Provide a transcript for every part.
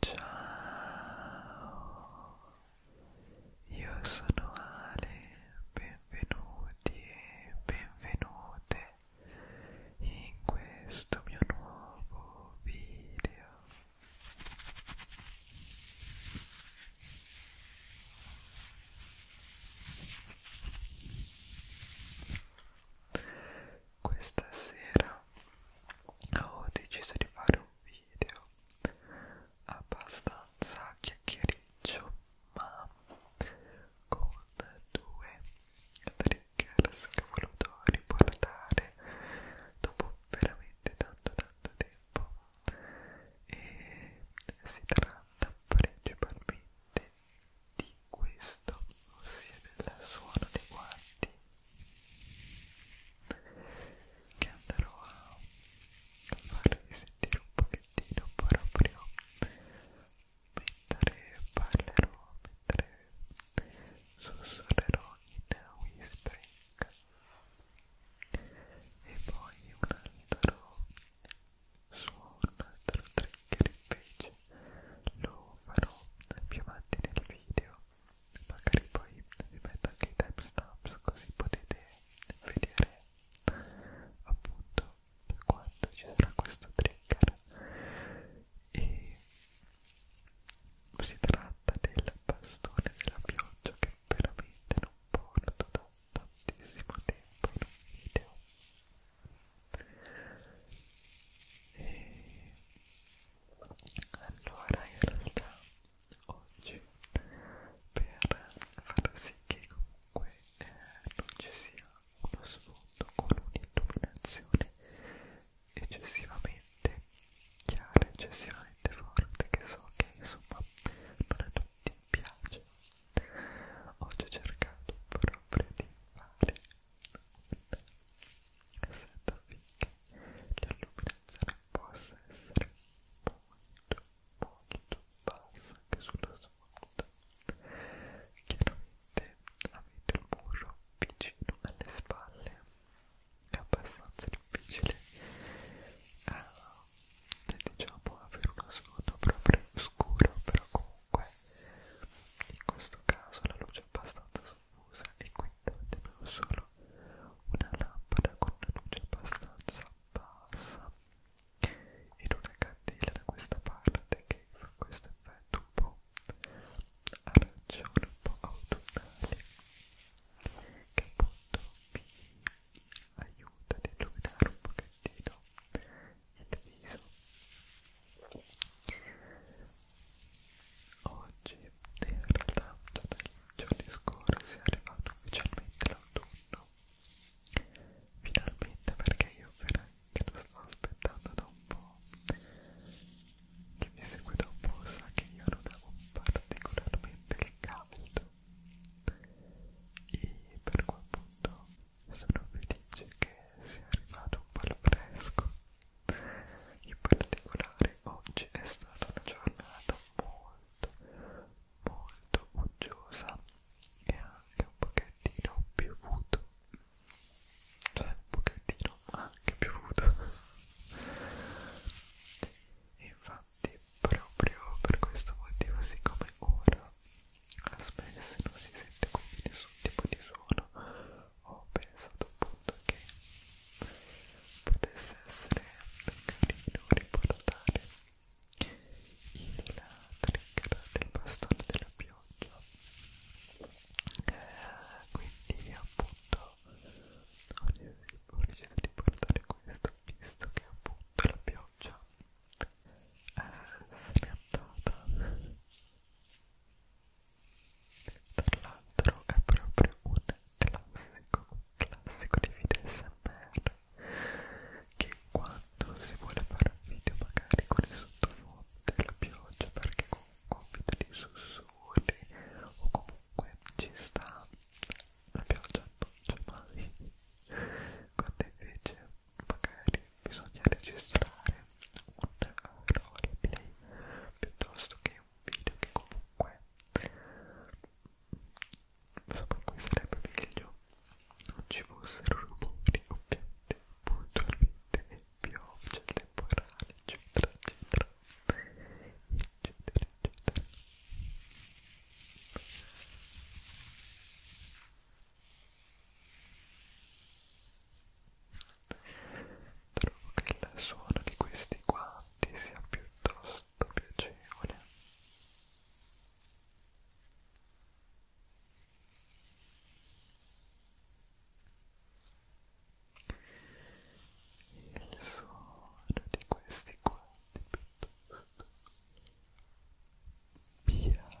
Ciao, io sono Ale, benvenuti e benvenute in questo mio nuovo video questa sera ho deciso di fare un video abbastanza chiacchiericcio ma con due triggers che ho voluto riportare dopo veramente tanto tanto tempo e si tratta principalmente di questo ossia del suono dei guanti che andrò a farvi sentire un pochettino proprio mentre parlerò, mentre sussurrerò in whispering e poi un altro suono, un altro trigger invece lo farò più avanti nel video magari poi vi metto anche i timestamps così potete vedere appunto quando ci sarà questo trigger e si tratta del bastone della pioggia che veramente non porto da tantissimo tempo in un video e allora, in realtà oggi per far sì che comunque eh, non ci sia uno sfondo con un'illuminazione eccessivamente chiara, eccessivamente forte, che so che insomma non a tutti piace, oggi ho cercato proprio di fare un set of la luminazione possa essere molto, molto bassa anche sulla sponda. Chiaramente avete il muro vicino alle spalle, è abbastanza difficile eh, diciamo avere uno sfondo proprio scuro, però comunque in questo caso la luce è abbastanza soffusa e quindi avevo solo una lampada con una luce abbastanza bassa ed una candela da questa parte che fa questo effetto un po' arancione, un po' autunnale che appunto mi aiuta ad illuminare un pochettino il viso Oggi, in realtà, dai giorni scorsi è arrivato ufficialmente l'autunno. Finalmente, perché io veramente lo sto aspettando da un po'. Chi mi segue da un po' sa che io non amo particolarmente il caldo. E per quel punto sono felice che sia arrivato un po' il fresco in particolare oggi è stata una giornata molto molto uggiosa e anche un pochettino piovuto cioè un pochettino anche piovuto e infatti proprio per questo motivo siccome ora spesso non si sente quindi nessun tipo di suono ho pensato appunto che potesse essere carino riportare il trigger del bastone della pioggia eh, quindi appunto ho deciso di portare questo visto che appunto la pioggia eh, è scattata tra l'altro è proprio un classico, un classico di video SMR che quando si vuole fare un video magari con il sottofondo della pioggia perché comunque un video di sussurri o comunque ci sta la pioggia non c'è mai quando invece magari bisogna registrare un roleplay piuttosto che un video che comunque insomma in cui sarebbe meglio non ci fossero rumori ovviamente puntualmente pioggia temporale eccetera eccetera eccetera eccetera Trovo che il suono di questi guanti sia piuttosto piacevole. Il suono di questi guanti piuttosto piacevole.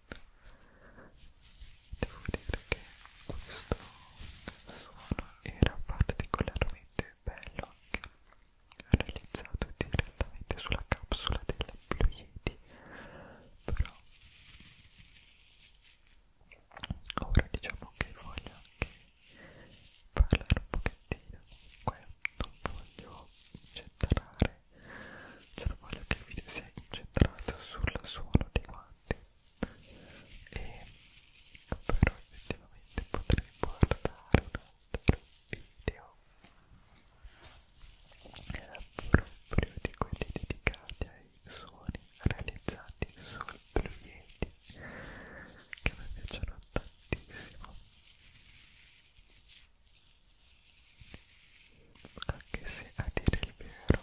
devo dire che questo suono era particolarmente bello anche realizzato direttamente sulla capsula della Blue Yeti però ora diciamo che voglio anche parlare un pochettino comunque non voglio gettare cioè voglio che il video sia incentrato sul suono dei guanti e però effettivamente potrei guardare un altro video proprio di quelli dedicati ai suoni realizzati sul Blue Yeti che mi piacciono tantissimo anche se a dire il vero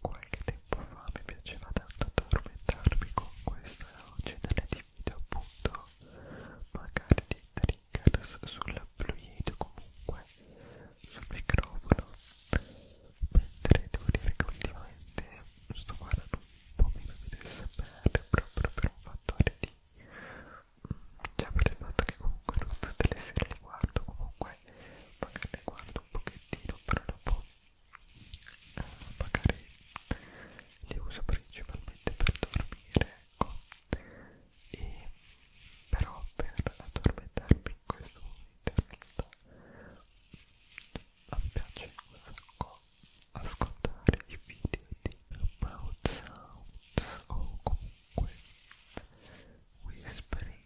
qualche tempo fa mi piaceva tanto addormentarmi con questo genere di video appunto magari di triggers sulla fluid comunque sul microfono mentre devo dire che ultimamente sto guardando un po' meno di SMR proprio per un fattore di già per il fatto che comunque non tutte le sere le guardo comunque magari le guardo un pochettino però dopo eh, magari le uso principalmente per dormire ecco e però per addormentarmi in questo momento in realtà mi piace un sacco ascoltare i video di Mouth Sounds o comunque whispering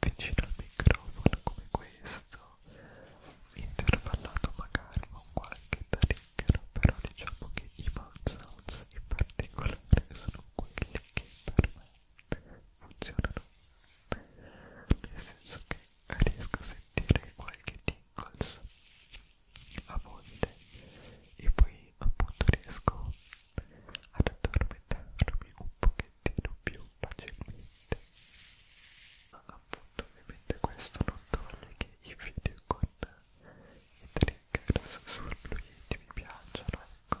vicino al microfono come questo intervallato magari con qualche trigger però diciamo che i mouth sounds in particolare sono quelli che per me funzionano nel senso che riesco a sentire qualche tingles a volte e poi poi appunto riesco ad addormentarmi un pochettino più facilmente ma appunto ovviamente questo non toglie che i video con i triggers sul fluidi mi piacciono ecco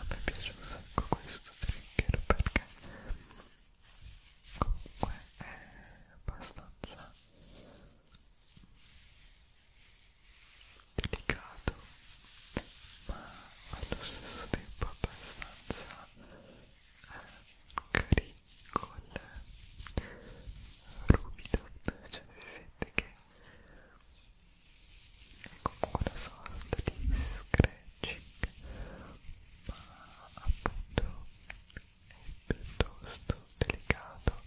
a me piace un sacco questo trigger perché comunque è abbastanza delicato ma allo stesso tempo abbastanza eh, carico eh, ruvido cioè si sente che ecco una sorta di scratching ma appunto è piuttosto delicato Ecco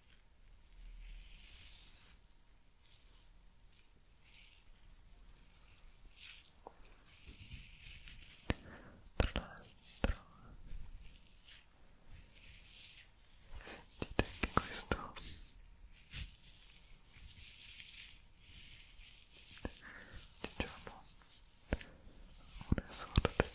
tra l'altro dite che questo diciamo una sorta di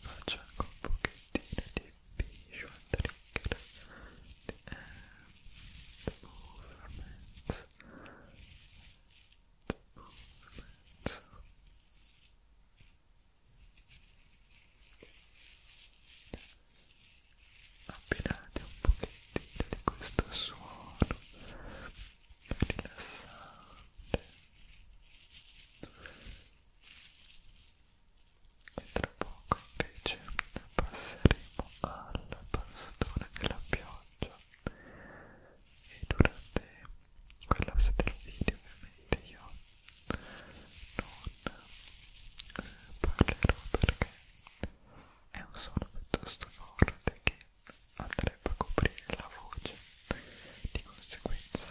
faccio anche un pochettino di visual trigger eh, and movements movements abbinate un pochettino di questo suono rilassante e tra poco invece passeremo alla passatura della pioggia e durante quella parte del video ovviamente io eh, parlerò perché è un suono piuttosto forte che andrebbe a coprire la voce di conseguenza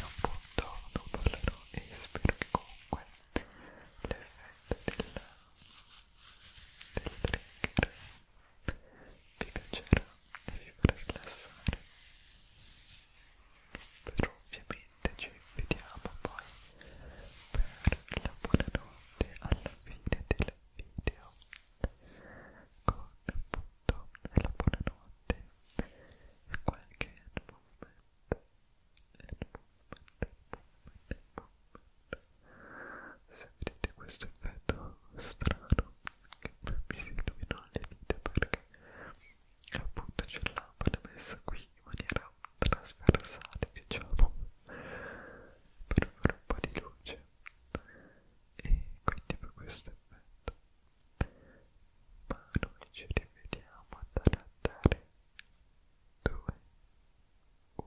appunto non parlerò e spero che comunque l'effetto del, del trigger vi piacerà e vi farà rilassare però ovviamente veramente ci vediamo poi per la buonanotte alla fine del video con appunto la buonanotte e qualche hand movement hand movement, movement, movement se vedete questo effetto strano che mi si illuminano le dita perché e appunto c'è l'ampara messa qui in maniera trasversale diciamo per fare un po' di luce e quindi per questo effetto ma noi ci rivediamo a dare a dare 2 1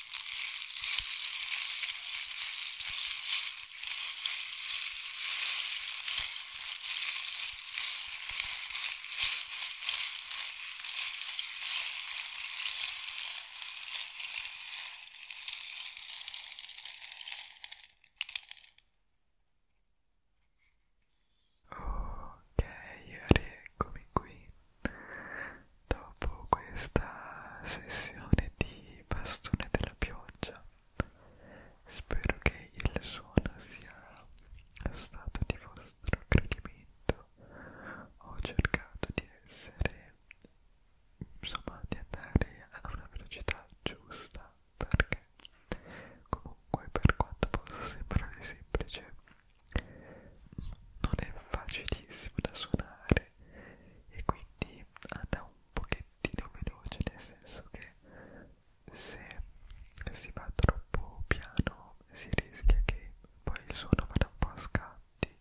Ok, rieccomi qui dopo questa sessione di bastone della pioggia spero che il suono sia stato di vostro gradimento ho cercato di essere insomma di andare a una velocità giusta perché comunque per quanto possa sembrare semplice non è facilissimo da suonare e quindi anda un pochettino veloce nel senso che se si va troppo piano si rischia che poi il suono vada un po' a scatti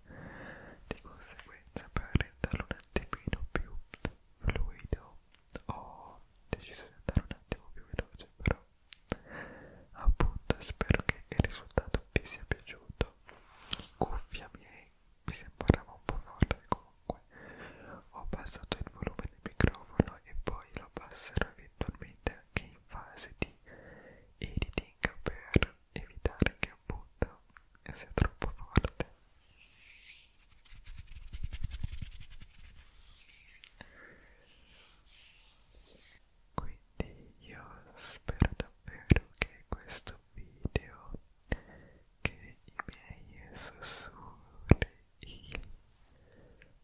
di conseguenza per renderlo un attimino più fluido ho deciso di andare un attimo più veloce però appunto spero che il risultato vi sia piaciuto cuffia miei mi sembrava un po' forte comunque ho abbassato il volume del microfono e poi lo abbasserò eventualmente anche in fase di editing per evitare che appunto sia troppo forte quindi io spero davvero che questo video che i miei sussurri il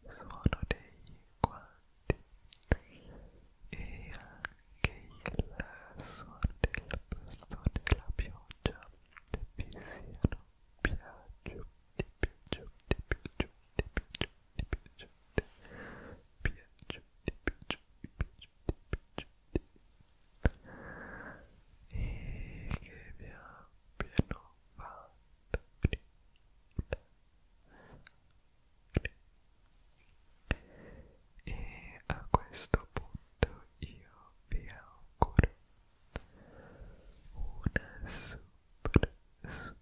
suono dei guanti e anche il suono del pasto della pioggia vi siano piaciuti piaciuti piaciuti e che vi abbiano fatto e a questo punto io vi auguro una super